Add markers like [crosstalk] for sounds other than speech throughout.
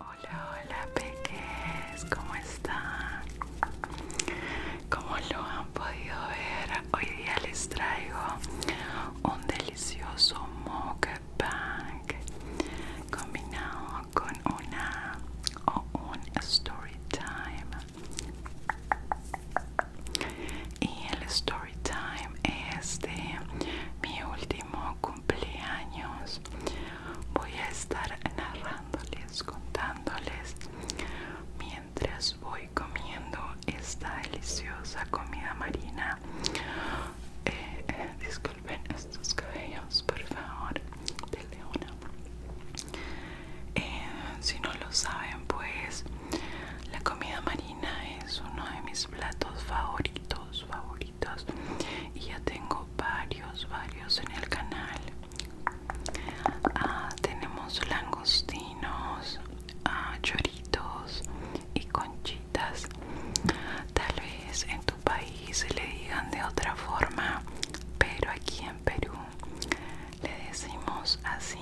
Hola, hola peques, ¿cómo están? Como lo han podido ver, hoy día les traigo un delicioso moque combinado con una o un story time y el story time es de mi último cumpleaños voy a estar narrándoles contándoles mientras voy comiendo esta deliciosa comida marina eh, eh, ven estos cabellos por favor de una eh, si no lo saben pues la comida marina es uno de mis platos favoritos favoritos y ya tengo varios varios en el canal ah, tenemos langostinos ah, choritos y conchitas tal vez en tu país le digan de otra forma pero aquí en Perú le decimos así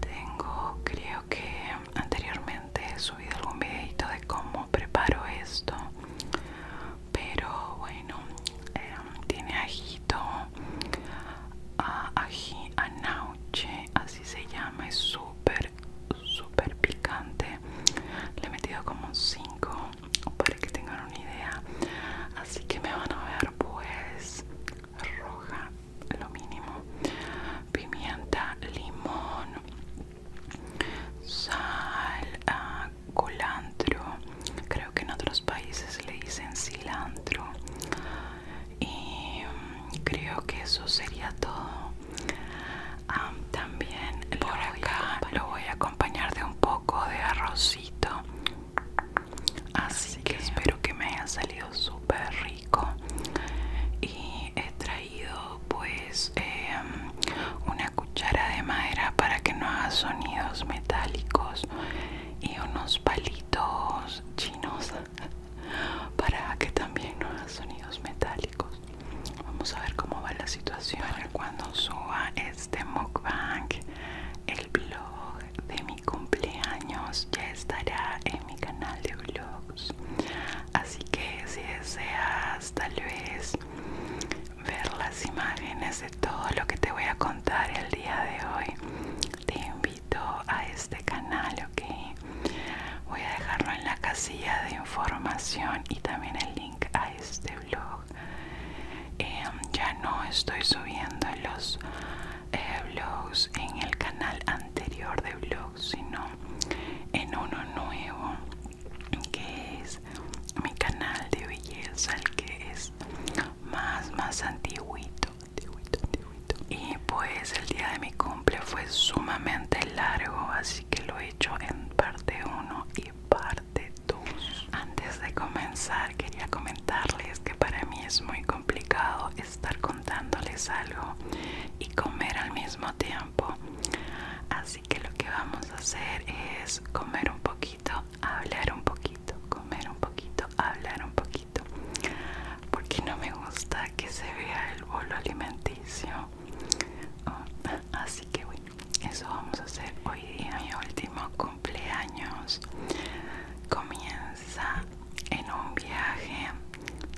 tengo creo que anteriormente he subido algún videito de cómo preparo esto pero bueno em, tiene ajito a ah, ají así se llama es súper súper picante le he metido como 5 para que tengan una idea así que me van a ver pues roja lo mínimo pimienta limón sal ah, Colantro creo que en otros países le dicen cilantro y mm, creo que eso sería todo también por acá lo voy a acompañar de un poco de arrocito. Así, que, espero que me haya salido súper rico. Y he traído pues em, una cuchara de madera para que no haga sonidos metálicos y unos palitos chinos [laughs] para que también no haga sonidos metálicos. Vamos a ver cómo va la situación cuando suba este mukbang. El blog de mi cumpleaños ya estará en mi canal de vlogs. Así que si deseas tal vez ver las imágenes de todo lo que te voy a contar el día de hoy, te invito a este canal, ¿ok? voy a dejarlo en la casilla de información y también el link a este blog em, ya no estoy subiendo los eh, blogs en el canal anterior de blogs sino en uno nuevo que es mi canal de belleza el que es más más antiguito, antiguito. y pues el día de mi cumple fue sumamente largo así que lo hecho en parte 1 y parte 2. Antes de comenzar quería comentarles que para mí es muy complicado estar contándoles algo y comer al mismo tiempo. Así que lo que vamos a hacer es comer un poquito, hablar un poquito, comer un poquito, hablar un poquito. Porque no me gusta que se vea el bolo alimenticio Ah, así que bueno eso vamos a hacer hoy día mi último cumpleaños comienza en un viaje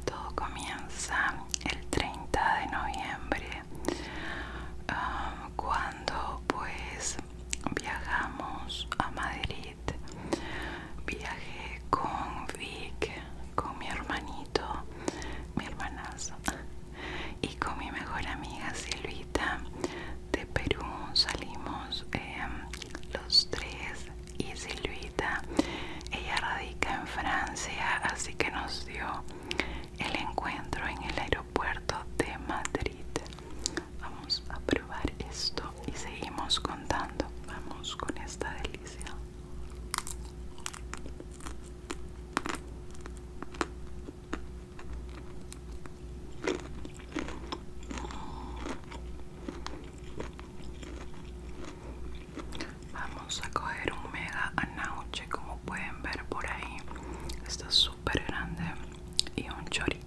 todo comienza el 30 de noviembre ah, cuando pues viajamos a Madrid viaje con Vic con mi hermanito, mi hermanazo y con mi mejor amiga Silvita de Perú salimos em, los tres y Silvita ella radica en Francia así que nos dio el encuentro en el aeropuerto de Madrid vamos a probar esto y seguimos contando vamos con esta delicia Vamos a coger un mega anoche como pueden ver por ahí. Está súper grande y un chorito.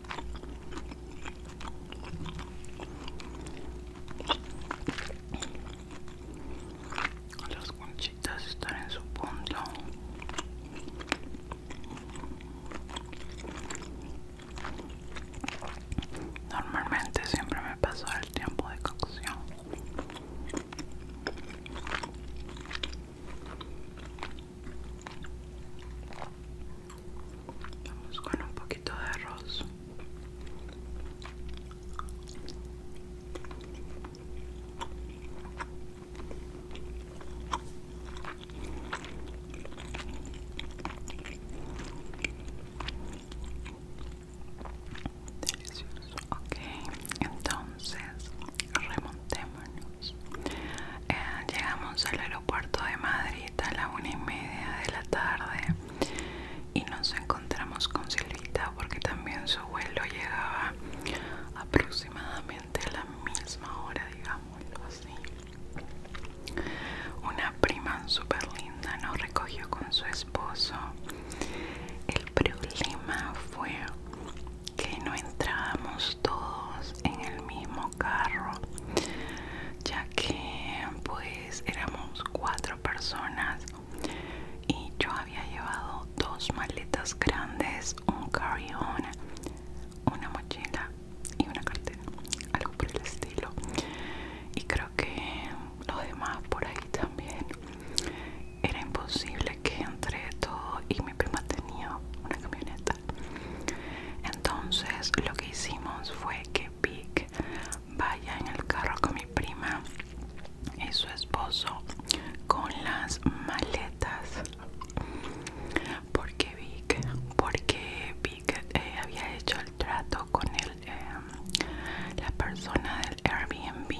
Las conchitas están en su punto. Normalmente siempre me paso el tiempo de cocción. Vamos con un poquito de arroz. Delicioso. Okay, entonces remontémonos eh, llegamos al aeropuerto de Madrid a la una y media de la tarde y nos encontramos con Silvita porque también su vuelo llegaba aproximadamente a la misma hora, digámoslo así. Una prima súper linda nos recogió con su esposo. El problema fue que no entrábamos todos en el mismo carro ya que pues éramos cuatro personas y yo había llevado dos maletas grandes un carry una mochila y una cartera algo por el estilo y creo que lo demás por ahí también era imposible que entre todo y mi prima tenía una camioneta entonces lo que hicimos fue que Vic vaya en el carro con mi prima y su esposo con las maletas. porque Porque Vic eh, había hecho el trato con el, eh, la persona del Airbnb.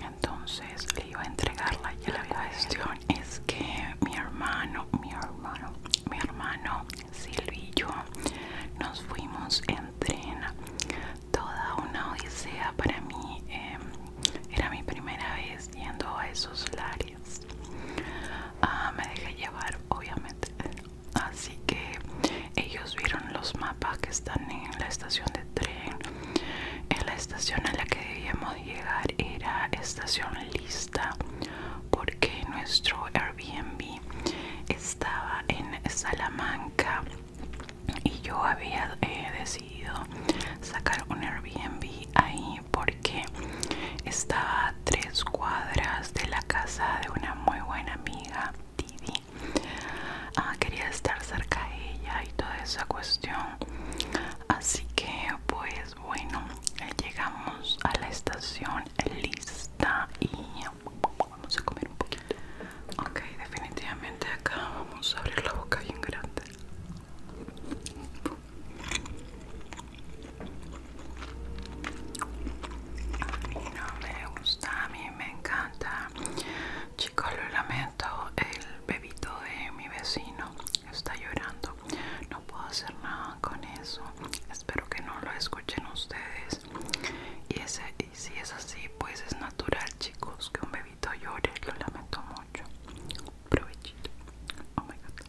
Entonces le iba a entregar la La cuestión es que mi hermano, mi hermano, mi hermano Silvio y yo nos fuimos en tren. Toda una odisea para mí. Em, era mi primera vez yendo a esos lares. Ah, me dejé llevar, obviamente. Así que ellos vieron los mapas que están en la estación de tren. En la estación a la que debíamos llegar era estación lista porque nuestro Airbnb estaba en Salamanca y yo había eh, decidido sacar un Airbnb ahí porque estaba a tres cuadras de la casa de una muy buena amiga, Didi. Ah, quería estar cerca de ella y toda esa cuestión. Así que pues bueno, eh, llegamos a la estación eh, lista y vamos a comer un poquito. Ok, definitivamente acá vamos a abrir la boca bien grande. A mí no me gusta, a mí me encanta. Chicos, lo lamento, el bebito de mi vecino está llorando no puedo hacer nada con eso espero que no lo escuchen ustedes y, ese, si es así pues es natural chicos que un bebito llore lo lamento mucho provechito oh my god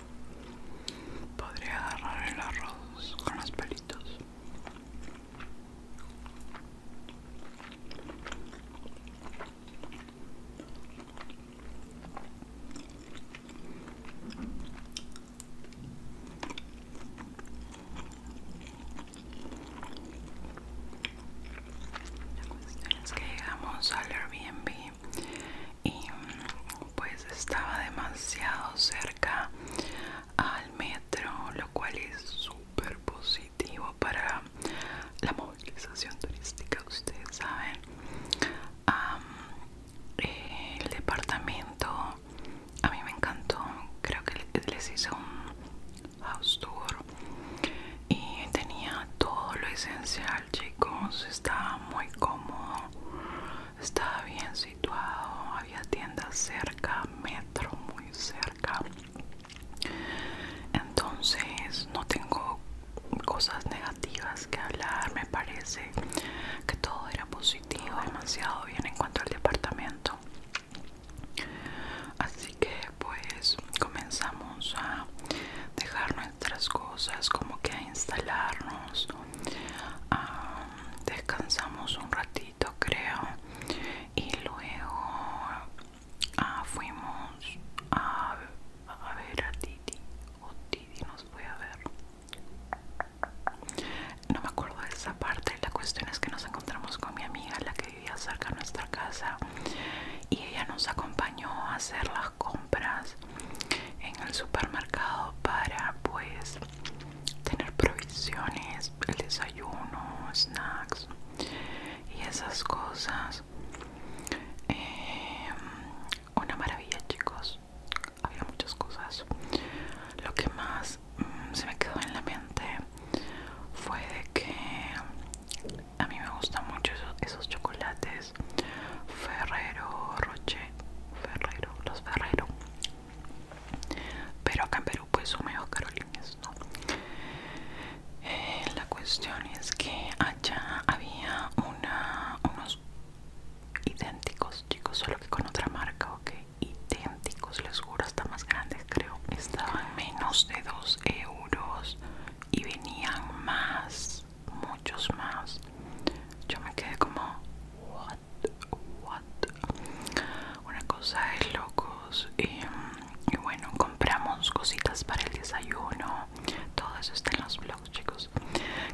Podría agarrar el arroz con los pelitos. La es que llegamos al Airbnb y pues estaba demasiado cerca al metro lo cual es súper positivo para la movilización turística ustedes saben el departamento a mí me encantó creo que les hice un house tour y tenía todo lo esencial chicos estaba muy cómodo estaba bien situado había tiendas cerca metro muy cerca entonces no tengo cosas negativas que hablar me parece que todo era positivo demasiado bien en cuanto al departamento así que pues comenzamos a dejarnos cosas como que a instalarnos descansamos un ratito creo y luego ah, fuimos a, ver a Titi o oh, Titi nos fue a ver no me acuerdo de esa parte la cuestión es que nos encontramos con mi amiga la que vivía cerca de nuestra casa y ella nos acompañó a hacer las cosas compras en el supermercado para pues tener provisiones, el desayuno, snacks y esas cosas. Em, una maravilla chicos, había muchas cosas. Lo que más mm, se me quedó en la mente fue de que a mí me gustan mucho esos chocolates Ferrero Roche, Ferrero, los Ferrero. Pero acá en Perú pues son medio carolines, ¿no? Eh, la cuestión es que allá había unos idénticos, chicos, solo que con otra marca, ok, idénticos, les juro, hasta más grandes creo. Estaban menos de 2 euros y venían más, muchos más. Yo me quedé como, what, what. Una cosa de locos. Y, bueno, compramos cositas para el desayuno. Todo eso está en los blogs, chicos.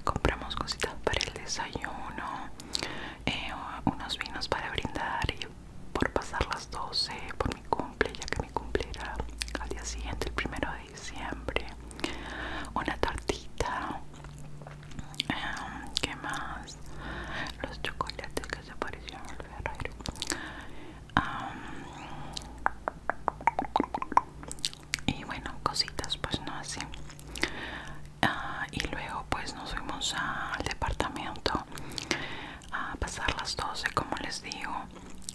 Compramos cositas para el desayuno. Eh, unos vinos para brindar y por pasar las 12 por mi cumple ya que mi cumple era al día siguiente el primero de diciembre una tartita, em, ¿Qué más? Los chocolates que se aparecieron en el Y bueno, cositas pues no así ah, Y luego pues nos fuimos al departamento a pasar las 12 como les digo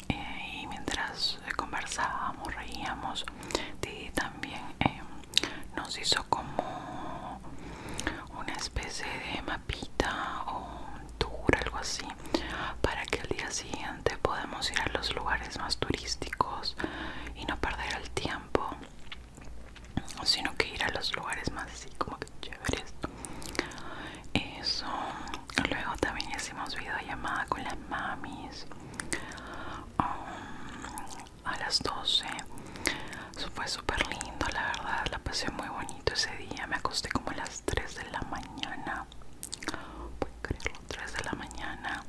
eh, y mientras eh, conversábamos, reíamos, Didi también eh, nos hizo como una especie de mapita o un tour, algo así, para que al día siguiente podamos ir a los lugares más turísticos y no perder el tiempo, sino que ir a los lugares más así como que chéveres. Eso. Luego también hicimos videollamada con las mamis Um, a las 12. fue súper lindo, la verdad. La pasé muy bonito ese día. Me acosté como a las 3 de la mañana. Pueden creerlo, 3 de la mañana.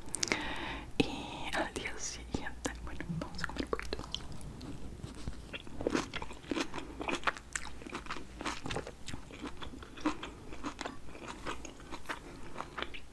Y al día siguiente, bueno, vamos a comer poquito.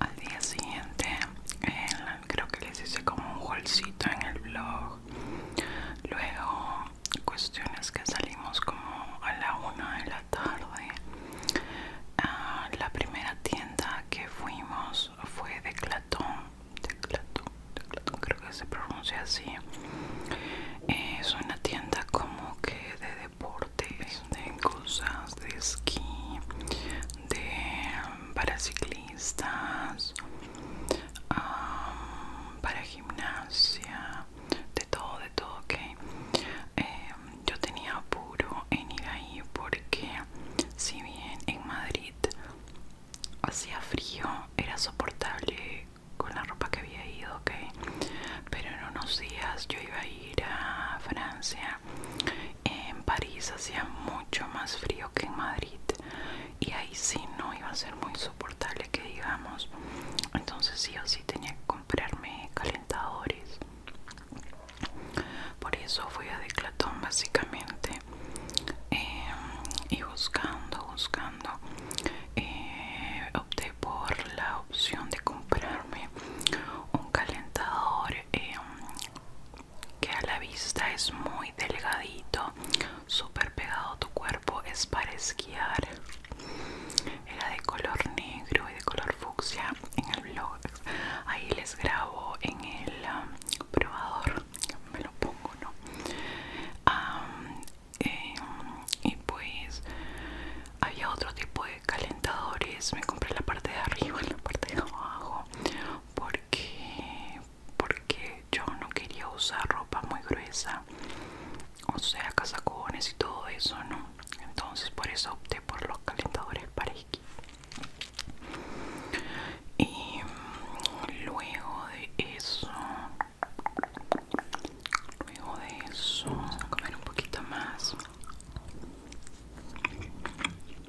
Al día siguiente, el creo que les hice como un golcito en el blog luego cuestiones que salimos como a la una de la tarde ah, la primera tienda que fuimos fue de Clatón Clatón, Clatón creo que se pronuncia así es una tienda como que de deportes de cosas de esquí de mm, paraciclismo para gimnasia de todo de todo ok em, yo tenía apuro en ir ahí porque si bien en Madrid hacía frío era soportable con la ropa que había ido ok pero en unos días yo iba a ir a Francia en París hacía mucho más frío que en Madrid y ahí sí no iba a ser muy soportable que digamos entonces sí o sí tenía que comprarme calentadores por eso fui a Declatón básicamente eh, y buscando buscando eh, opté por la opción de comprarme un calentador eh, que a la vista es muy delgadito, súper pegado a tu cuerpo, es para esquiar. Era de color negro y de color fucsia en el blog. Ahí les grabo en el um, probador. Me lo pongo, ¿no? Em, y pues había otro tipo de calentadores. Me compré la parte de arriba y la parte de abajo porque porque yo no quería usar ropa muy gruesa o sea casacones y todo eso no entonces por eso opté por los calentadores para esquí y mm, luego de eso luego de eso vamos a comer un poquito más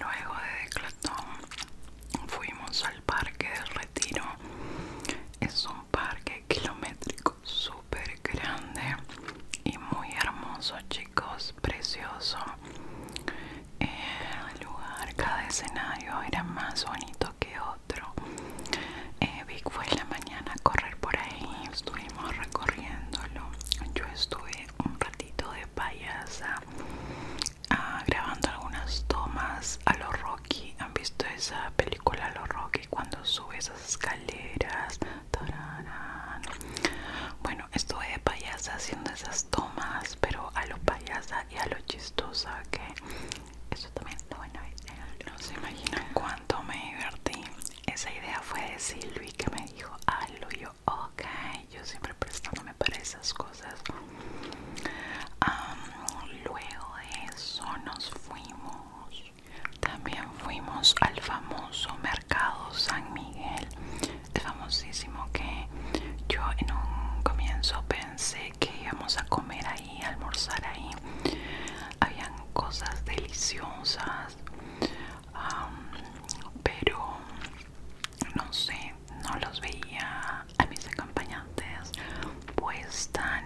Luego de Declatón fuimos al Parque del Retiro. Es un parque kilométrico súper grande y muy hermoso, chicos, precioso. El lugar, cada escenario era más bonito que otro. Eh, fue en la mañana a correr por ahí, estuvimos corriéndolo. Yo estuve un ratito de payasa ah, grabando algunas tomas a lo Rocky. ¿Han visto esa película a los Rocky cuando sube esas escaleras? Bueno, estuve de payasa haciendo esas tomas, pero a lo payasa y a lo chistosa que eso también lo No se imaginan cuánto me divertí esa idea fue de Silvi que me dijo Luis yo ok yo siempre prestándome para esas cosas luego de eso nos fuimos también fuimos al famoso mercado San Miguel famosísimo que yo en un comienzo pensé que íbamos a comer ahí almorzar ahí habían cosas deliciosas pero no sé no los veía a mis acompañantes pues tan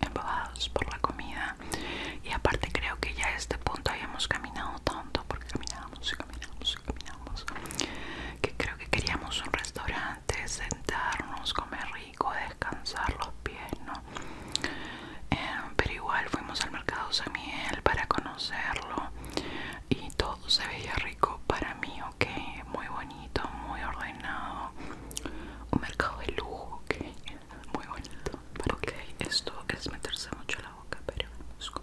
embobados por la comida y aparte creo que ya a este punto habíamos caminado tanto porque caminábamos y caminábamos y caminábamos que creo que queríamos un restaurante sentarnos comer descansar los pies, ¿no? Em, pero igual fuimos al mercado Samuel para conocerlo y todo se veía rico para mí, ok, muy bonito, muy ordenado, un mercado de lujo, ok, muy bonito. Pero ok, esto es meterse mucho la boca, pero vamos todo.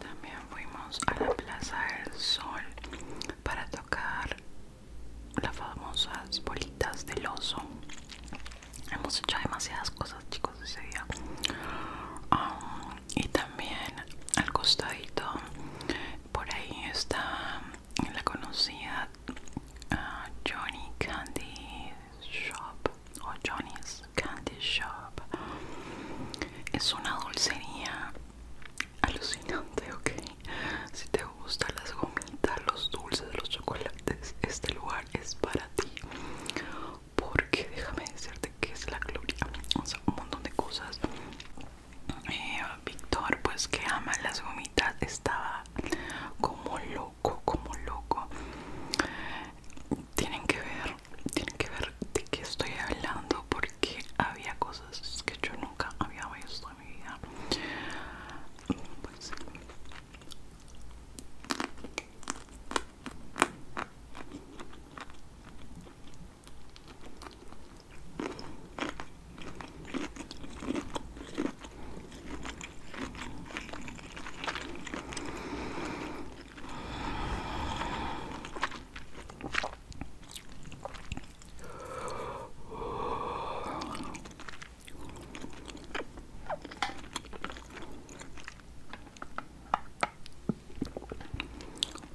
También fuimos a la Plaza del Sol para tocar las famosas bolitas del oso. Hemos hecho demasiadas cosas, chicos, ese día. y también al costadito, por ahí está la conocida Ah, Johnny Candy Shop o Johnny's Candy Shop es una dulcería alucinante, ok. Si te gustan las gomitas, los dulces, los chocolates, este lugar es para ti. Porque déjame decirte que es la gloria, un montón de cosas. Eh, Víctor, pues que ama las gomitas, estaba como loco, como loco. Tienen que ver, tienen que ver de qué estoy hablando porque había cosas que yo nunca había visto en mi vida. Pues,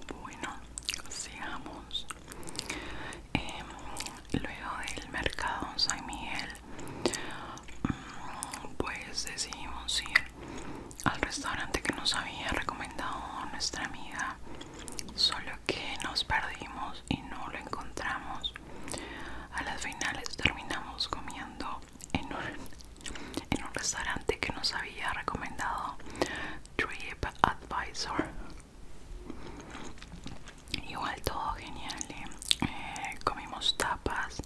bueno, sigamos. Em, luego del mercado San Miguel, mm, pues decidimos ir al restaurante que nos había recomendado nuestra amiga, solo que nos perdimos y no lo encontramos. A las finales terminamos comiendo en un, restaurante que nos había recomendado Trip Advisor Igual todo genial. ¿eh? Eh, comimos tapas.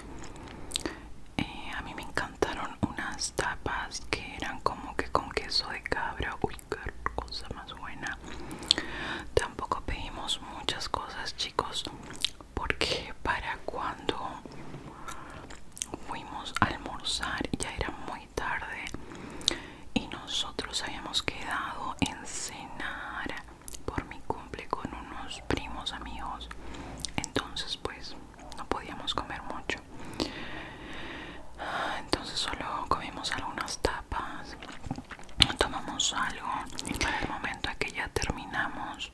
Eh, a mí me encantaron unas tapas que eran como que con queso de cabra. Uy, qué cosa más buena. Tampoco pedimos muchas cosas, chicos, porque para cuando fuimos a almorzar ya era muy tarde y nosotros habíamos quedado en cenar por mi cumple con unos primos amigos entonces pues no podíamos comer mucho ah, entonces solo comimos algunas tapas tomamos algo y para el momento que ya terminamos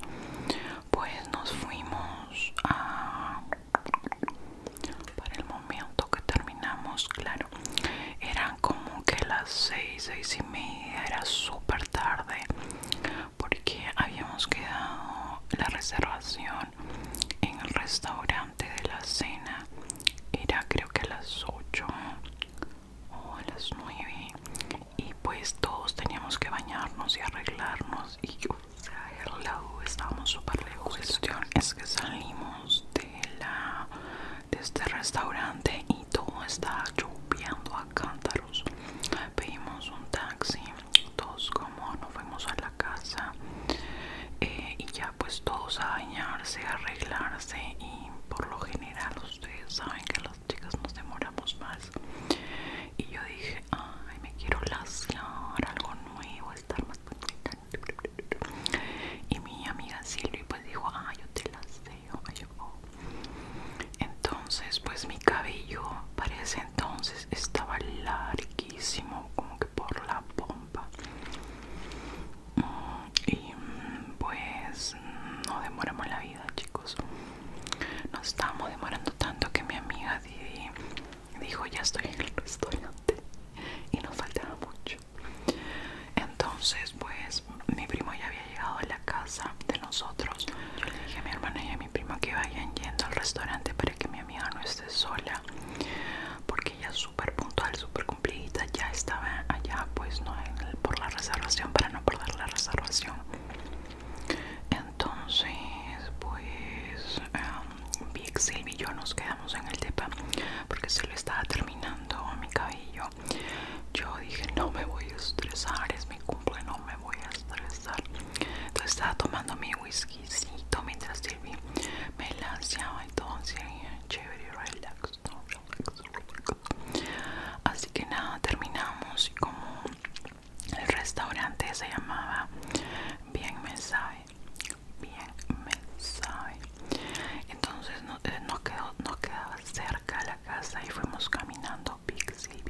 pues nos fuimos a para el momento que terminamos claro era como que las 6, 6 y media, era súper tarde porque habíamos quedado la reservación en el restaurante de la cena, era creo que a las 8 o a las 9 y pues todos teníamos que bañarnos y arreglarnos y yo traer la estábamos súper lejos. La cuestión es que salimos de la de este restaurante y todo está lloviendo a cántaros. Pedimos un taxi, todos como nos fuimos a la casa eh, y ya pues todos a bañarse, arreglarse y por lo general ustedes saben que las chicas nos demoramos más. Y yo dije, ay me quiero lasear, algo nuevo, estar más bonita y mi amiga Silvi pues dijo ah yo te las dejo entonces pues mi cabello Parece entonces estaba larguísimo como que por la pompa mm, y mm, pues no demoramos la vida chicos No estábamos demorando tanto que mi amiga Didi dijo ya estoy en [laughs] el restaurante y nos faltaba mucho entonces, pues mi primo ya había llegado a la casa de nosotros. Yo le dije a mi hermana y a mi primo que vayan yendo al restaurante para que mi amiga no esté sola, porque ella es súper puntual, súper cumplida. Ya estaba allá, pues no por la reservación, para no perder la reservación. Entonces, pues em, Vic, Big y yo nos quedamos en el depa porque se lo estaba terminando mi cabello yo dije, no me voy a estresar, es mi cumple, no me voy a estresar. Entonces estaba tomando mi whiskycito mientras Silvi me lanceaba entonces todo, así, chévere, y no, Así que nada, terminamos y como el restaurante se llamaba Bien Me Sabe, Bien Me Sabe entonces eh, no, quedó, no quedaba cerca la casa y fuimos caminando Pixie y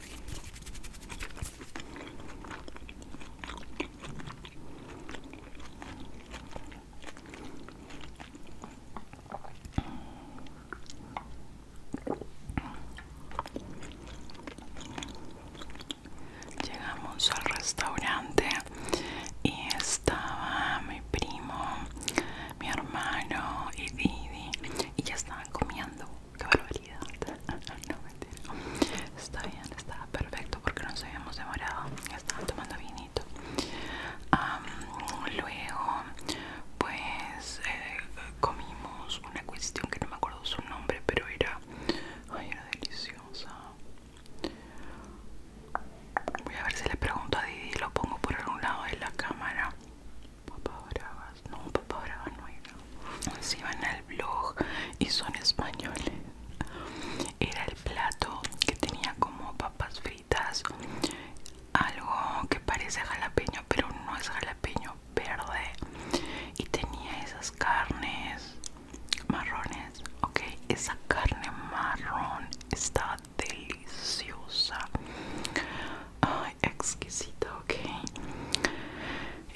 Llegamos al restaurante y estaba mi primo, mi hermano y Didi y ya estaban comiendo qué barbaridad. [laughs] no mentira. Está bien, está perfecto porque nos habíamos demorado. estaban tomando vinito. luego, pues eh, comimos una cuestión que no me acuerdo su nombre, pero era, ay, era deliciosa. Voy a ver si le pregunto a Didi y lo pongo por algún lado de la cámara. Papá Bravas, no, Papá Bravas no era. Se iban al blog y son españoles. Era el plato que tenía como papas fritas, algo que parece jalapeño, pero no es jalapeño verde. Y tenía esas carnes marrones, ok. Esa carne marrón está deliciosa. Ay, exquisito, ok.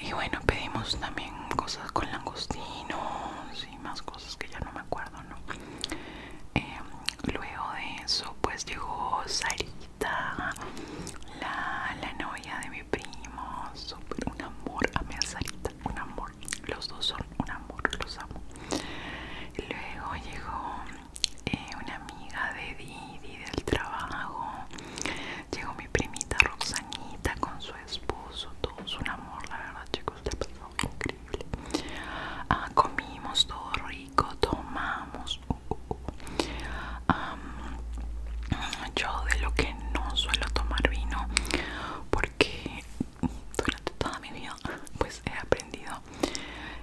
Y bueno, pedimos también cosas con langostinos y más cosas que ya no me acuerdo, ¿no? Em, luego de eso, pues llegó Sarita, la, la novia de mi primo. Súper un amor, amé a Sarita, un amor. Los dos son un amor, los amo. Luego llegó eh, una amiga de Didi del trabajo. Llegó mi primita Roxanita con su esposo, Todo su amor, la verdad chicos, pasó increíble. Ah, comimos todo rico, tomamos. Uh, uh, uh. yo de lo que no suelo tomar vino porque durante toda mi vida pues he aprendido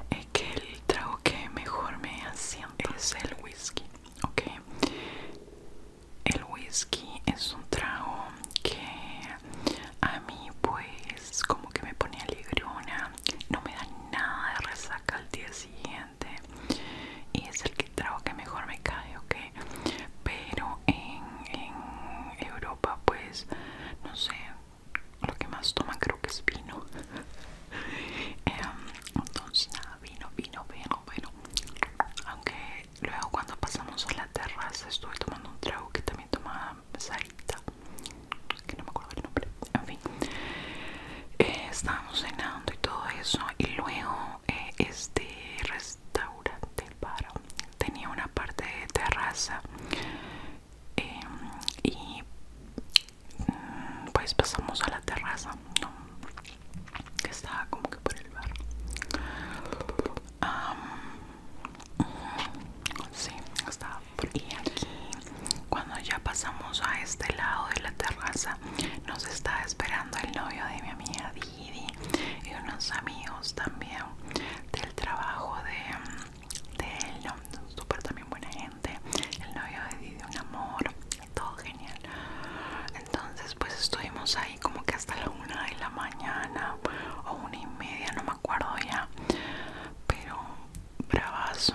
eh, que el trago que mejor me hacía es el whisky ok el whisky es un trago que a mí pues como que me pone alegrona no me da nada de resaca al día siguiente y es el que trago que mejor me cae ok pero en, en Europa pues no sé lo que más toman creo que es vino [laughs] em, entonces nada vino, vino, vino, bueno. Aunque luego cuando pasamos a la terraza estuve tomando un trago que también tomaba Sarita, que no me acuerdo el nombre. En fin, eh, estábamos cenando y todo eso. Y luego eh, este restaurante, tenía una parte de terraza. Em, y Mm, pues pasamos a la terraza que estaba como que por el bar sí estaba por aquí cuando ya pasamos a este lado de la terraza nos está esperando el novio de mi amiga Didi y unos amigos también del trabajo de, de él, súper también buena gente, el novio de Didi, un amor, todo genial entonces pues estuvimos ahí como que hasta la una de la mañana o una y media no me acuerdo ya pero bravazo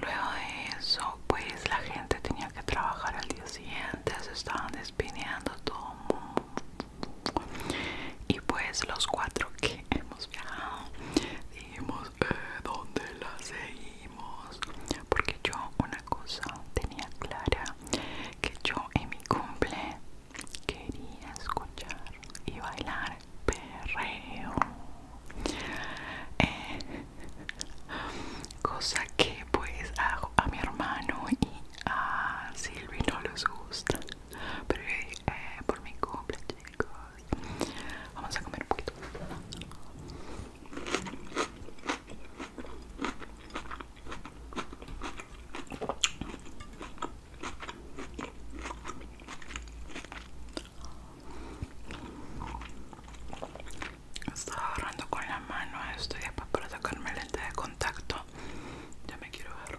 luego de eso pues la gente tenía que trabajar al día siguiente se estaban despidiendo todo y pues los cuatro que hemos viajado dijimos eh, dónde la seguimos porque yo una cosa tenía clara que yo en mi cumple quería escuchar y bailar perreo eh, cosa que pues a, a mi hermano y a Silvi no les gusta pero eh, por mi cumple Vamos a comer un poquito. Estaba agarrando con la mano esto y para sacarme lente de contacto. Ya me quiero agarrar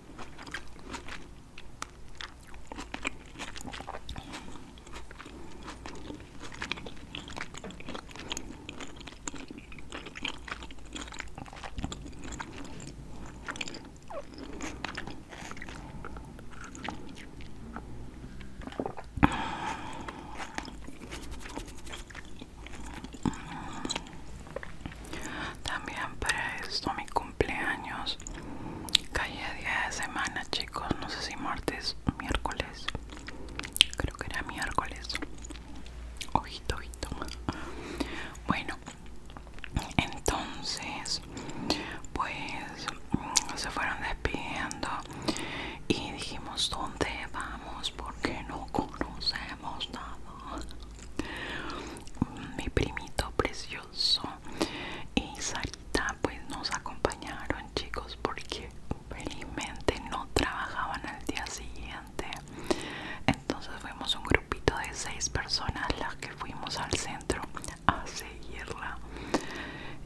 También para esto mi cumpleaños Calle día de semana chicos no sé si martes miércoles creo que era miércoles ojito ojito bueno entonces pues mm, se fueron despidiendo y dijimos dónde vamos porque no conocemos nada mi primito precioso y Sarita pues nos acompañaron chicos porque felizmente no trabajaban al día siguiente entonces fuimos un grupito de seis personas las que fuimos al centro a seguirla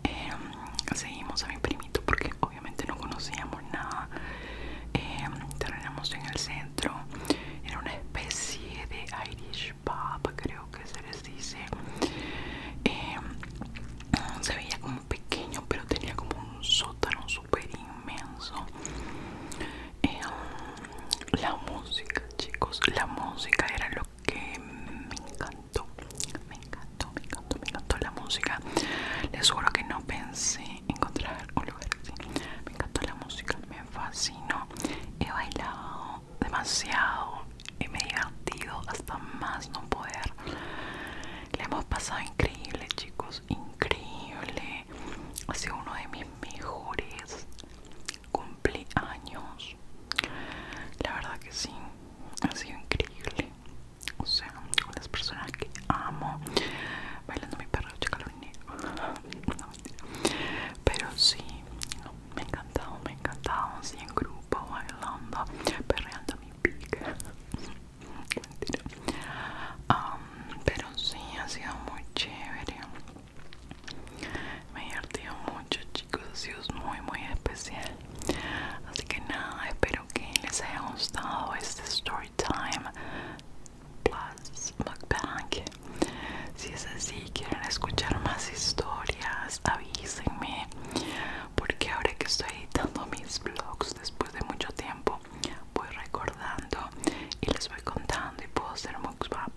em, seguimos a mi primito porque obviamente no conocíamos nada eh, terminamos en el centro era una especie de Irish Papa creo que se les dice. Em, se veía como pequeño, pero tenía como un sótano super inmenso. Em, la música, chicos, la música era lo que me encantó. Me encantó, me encantó, me encantó la música. Les juro que no pensé encontrar un lugar así. Me encantó la música, me fascinó. He bailado demasiado y me he divertido hasta más no poder. Le hemos pasado increíble, chicos, increíble. Ha sido uno de mis mejores cumpleaños. La verdad que sí, ha sido increíble. O sea, con las personas que amo, bailando mi perro, chacalón. Pero sí, me encantó me encantaba, así en grupo, bailando, perreando mi pica. [laughs] Mentira. pero sí, ha sido muy chévere. Me ha mucho, chicos. Ha sido muy, muy especial. Así que nada, espero que les haya gustado este story time plus Back si es así, quieren escuchar más historias, avísenme. Porque ahora que estoy editando mis vlogs después de mucho tiempo, voy recordando y les voy contando y puedo hacer mukbang.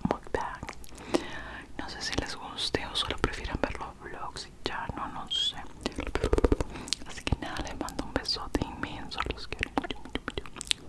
No sé si les guste o solo prefieren ver los vlogs y ya no, no sé. Así que nada, les mando un besote inmenso, los quiero mucho, mucho, mucho.